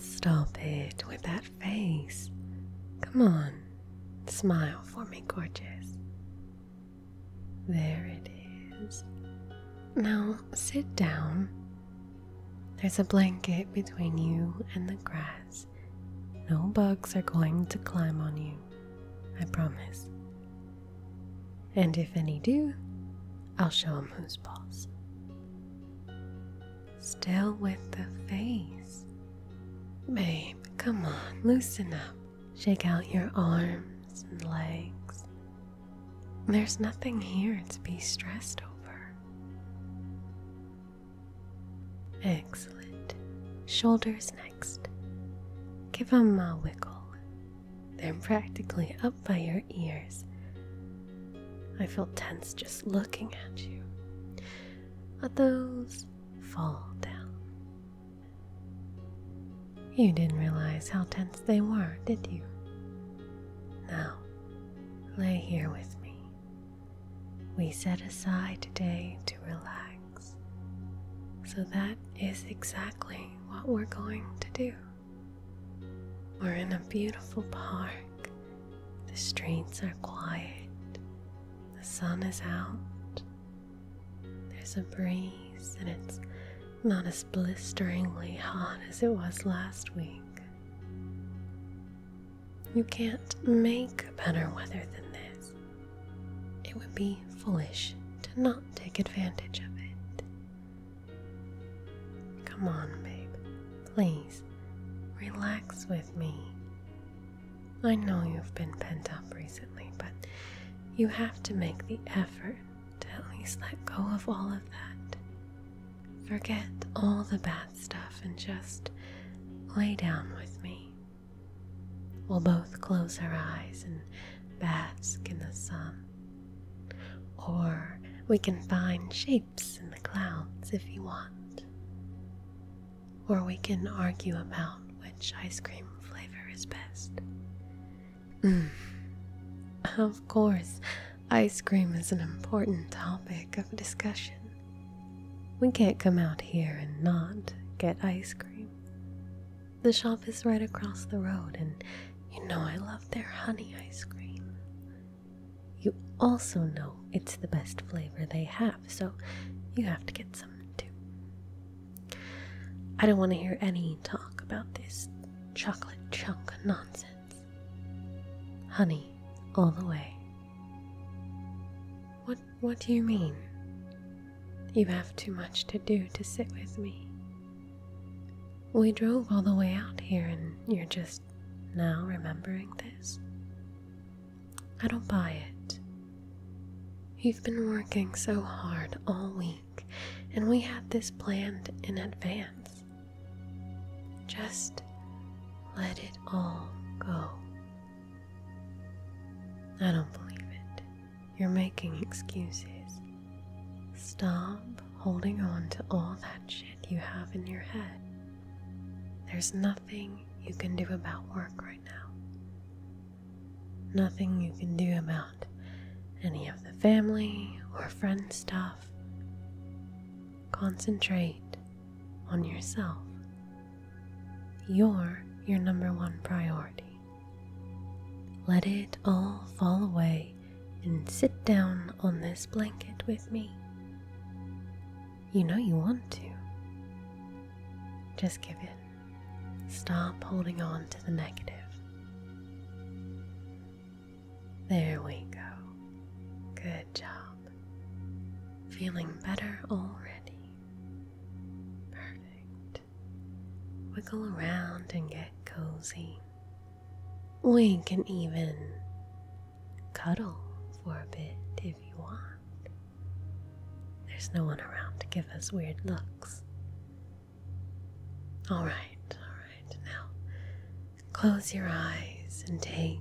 Stop it with that face. Come on, smile for me, gorgeous. There it is. Now sit down. There's a blanket between you and the grass. No bugs are going to climb on you. I promise. And if any do, I'll 'em who's boss. Still with the face. Babe, come on, loosen up. Shake out your arms and legs. There's nothing here to be stressed over. Excellent. Shoulders next. Give 'em a wiggle they're practically up by your ears. I feel tense just looking at you. Let those fall down. You didn't realize how tense they were, did you? Now, lay here with me. We set aside today to relax. So that is exactly what we're going to do. We're in a beautiful park. The streets are quiet. The sun is out. There's a breeze, and it's not as blisteringly hot as it was last week. You can't make better weather than this. It would be foolish to not Take advantage of it. Come on, babe. Please, relax with me. I know you've been pent up recently, but you have to make the effort to at least let go of all of that. Forget all the bad stuff and just lay down with me. We'll both close our eyes and bask in the sun. Or we can find shapes in the clouds if you want. Or we can argue about which ice cream flavor is best. Mm. Of course, ice cream is an important topic of discussion. We can't come out here and not get ice cream. The shop is right across the road, and you know I love their honey ice cream. You also know it's the best flavor they have, so you have to get some too. I don't want to hear any talk about this chocolate chunk nonsense. Honey, all the way. What what do you mean? You have too much to do to sit with me. We drove all the way out here, and you're just now remembering this. I don't buy it. You've been working so hard all week, and we had this planned in advance. Just let it all go. I don't believe it. You're making excuses. Stop holding on to all that shit you have in your head. There's nothing you can do about work right now. Nothing you can do about any of the family or friend stuff. Concentrate on yourself. You're your number one priority. Let it all fall away and sit down on this blanket with me. You know you want to. Just give in. Stop holding on to the negative. There we go. Good job. Feeling better already. Perfect. Wiggle around and get cozy. We can even cuddle for a bit if you want. There's no one around to give us weird looks. Alright, alright, now close your eyes and take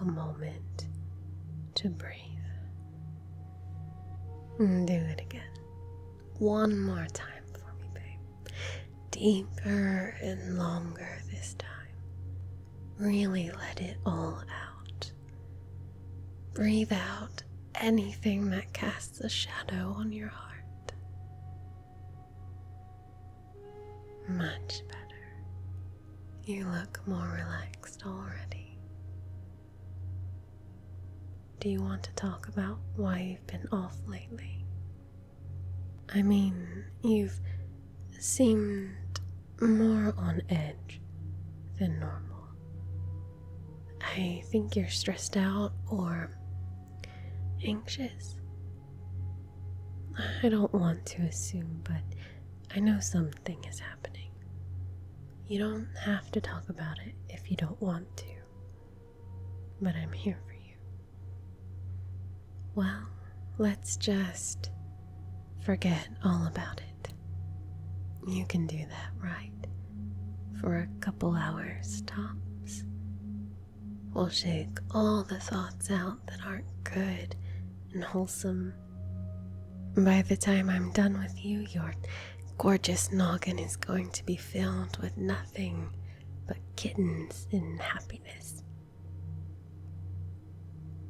a moment to breathe. And do it again. One more time for me, babe. Deeper and longer this time. Really let it all out. Breathe out anything that casts a shadow on your heart. Much better. You look more relaxed already. Do you want to talk about why you've been off lately? I mean, you've seemed more on edge than normal. I think you're stressed out or anxious. I don't want to assume, but I know something is happening. You don't have to talk about it if you don't want to but I'm here for you. Well, let's just forget all about it. You can do that, right? For a couple hours tops. We'll shake all the thoughts out that aren't good and wholesome. By the time I'm done with you, you're gorgeous noggin is going to be filled with nothing but kittens and happiness.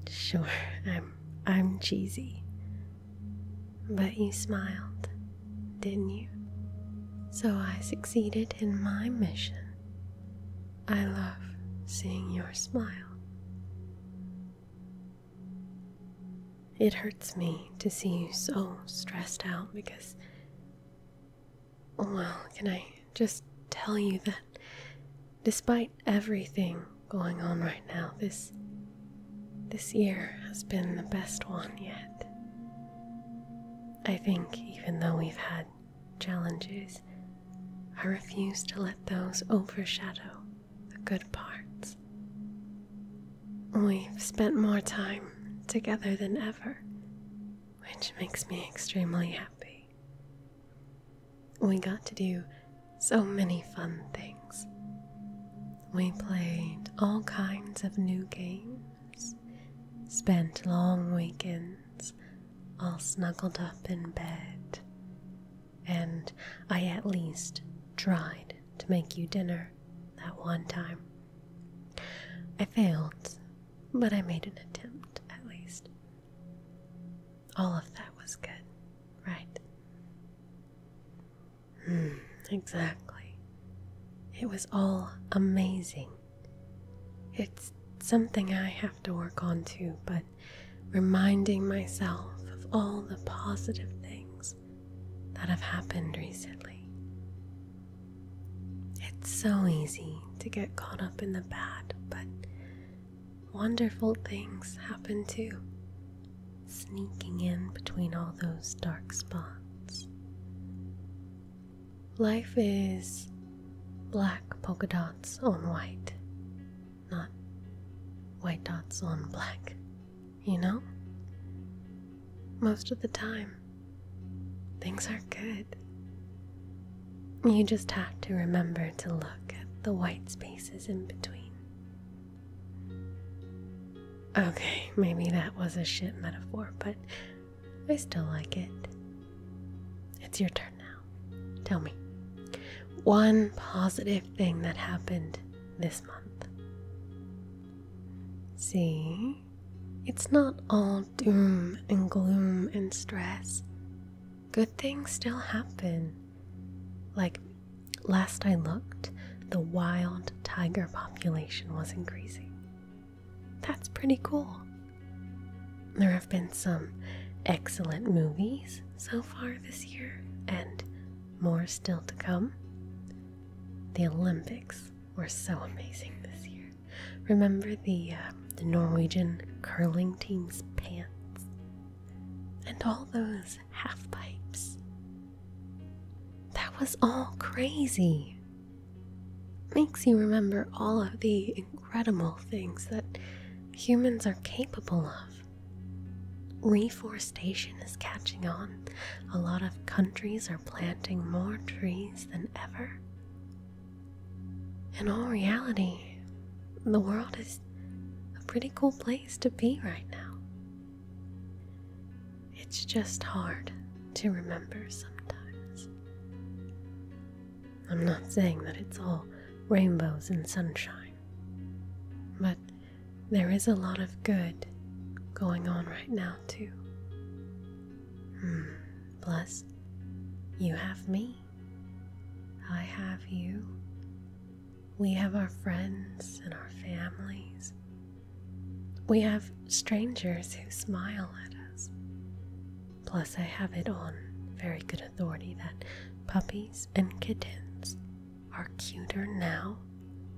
Sure, I'm I'm cheesy. But you smiled, didn't you? So I succeeded in my mission. I love seeing your smile. It hurts me to see you so stressed out because well, can I just tell you that despite everything going on right now, this this year has been the best one yet. I think even though we've had challenges, I refuse to let those overshadow the good parts we spent more time together than ever, which makes me extremely happy. We got to do so many fun things. We played all kinds of new games, spent long weekends all snuggled up in bed, and I at least tried to make you dinner that one time. I failed, but I made an attempt at least. All of that was good, right? Hmm, exactly. It was all amazing. It's something I have to work on too, but reminding myself of all the positive things that have happened recently it's so easy to get caught up in the bad, but wonderful things happen too, sneaking in between all those dark spots. Life is black polka dots on white, not white dots on black, you know? most of the time, things are good. You just have to remember to look at the white spaces in between. Okay, maybe that was a shit metaphor, but I still like it. It's your turn now. Tell me one positive thing that happened this month. See? It's not all doom and gloom and stress. Good things still happen. Like last I looked, the wild tiger population was increasing. That's pretty cool. There have been some excellent movies so far this year, and more still to come. The Olympics were so amazing this year. Remember the uh, the Norwegian curling team's pants and all those half pipes. That was all crazy. Makes you remember all of the incredible things that humans are capable of. Reforestation is catching on. A lot of countries are planting more trees than ever. In all reality, the world is a pretty cool place to be right now. It's just hard to remember sometimes. I'm not saying that it's all rainbows and sunshine, but there is a lot of good going on right now, too. Plus, hmm. you have me. I have you. We have our friends and our families. We have strangers who smile at us. Plus, I have it on very good authority that puppies and kittens are cuter now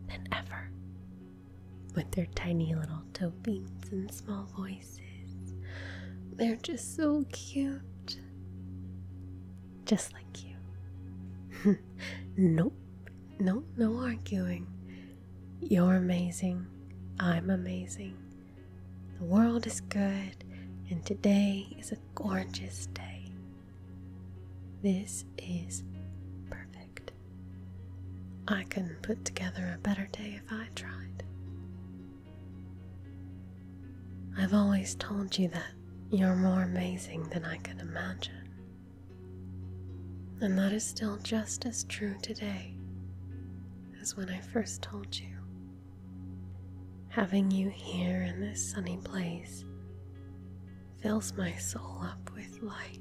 than ever with their tiny little toe beans and small voices. They're just so cute. Just like you. nope, nope, no arguing. You're amazing. I'm amazing. The world is good, and today is a gorgeous day. This is perfect. I couldn't put together a better day if I tried. I've always told you that you're more amazing than I could imagine. And that is still just as true today as when I first told you. Having you here in this sunny place fills my soul up with light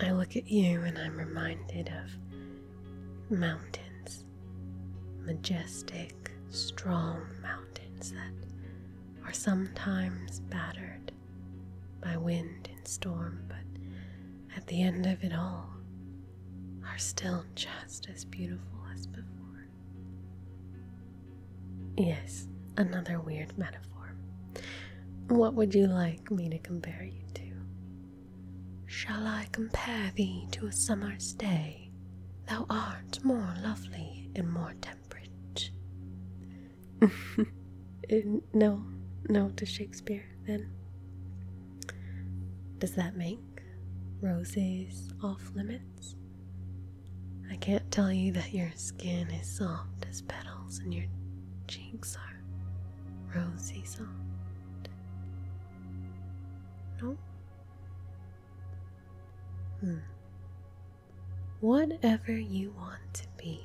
I look at you and I'm reminded of mountains, majestic, strong mountains that are sometimes battered by wind and storm, but at the end of it all, are still just as beautiful as before. Yes, another weird metaphor. What would you like me to compare you to? Shall I compare thee to a summer's day? Thou art more lovely and more temperate. Eh, no, no to Shakespeare, then. Does that make roses off limits? I can't tell you that your skin is soft as petals and your cheeks are rosy soft. No? Hmm. Whatever you want to be,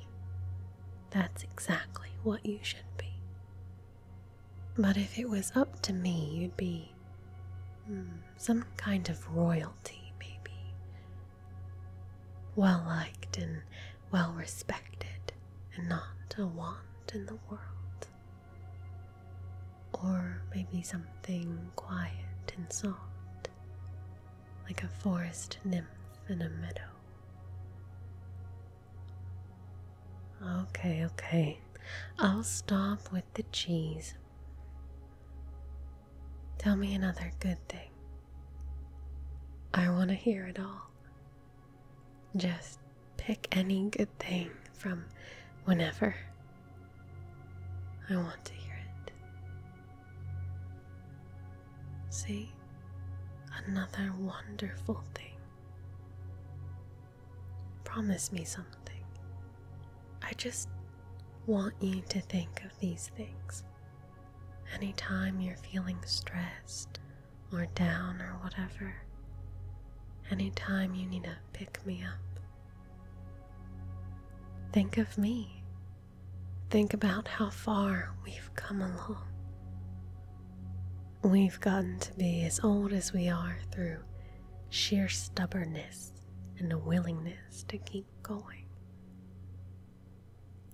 that's exactly what you should be. But if it was up to me, you'd be hmm, some kind of royalty, maybe. Well liked and well respected and not a want in the world. Or maybe something quiet and soft, like a forest nymph in a meadow. Okay, okay, I'll stop with the cheese. Tell me another good thing. I want to hear it all. Just pick any good thing from whenever. I want to hear it. See? Another wonderful thing. Promise me something. I just want you to think of these things Anytime you're feeling stressed or down or whatever, anytime you need to pick me up, think of me. Think about how far we've come along. We've gotten to be as old as we are through sheer stubbornness and a willingness to keep going.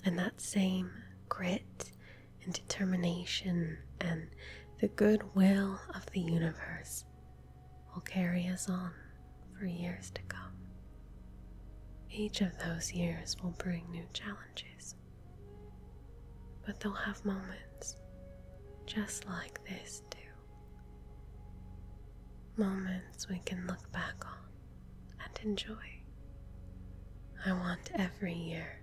And that same grit and determination and the goodwill of the universe will carry us on for years to come. Each of those years will bring new challenges, but they'll have moments just like this, too. Moments we can look back on and enjoy. I want every year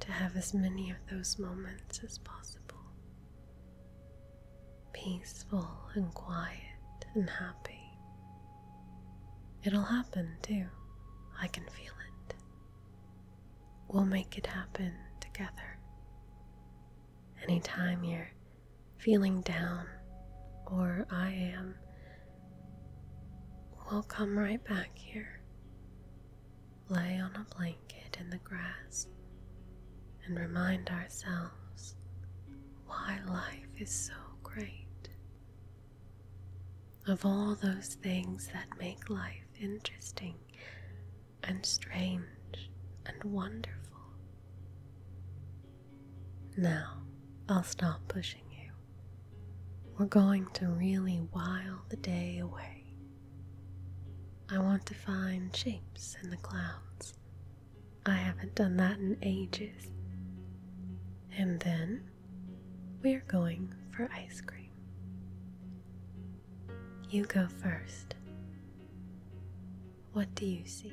to have as many of those moments as possible. Peaceful and quiet and happy. It'll happen too. I can feel it. We'll make it happen together. Anytime you're feeling down, or I am, We'll come right back here. Lay on a blanket in the grass and remind ourselves why life is so great. Of all those things that make life interesting and strange and wonderful. Now I'll stop pushing you. We're going to really while the day away. I want to find shapes in the clouds. I haven't done that in ages. And then we are going for ice cream. You go first. What do you see?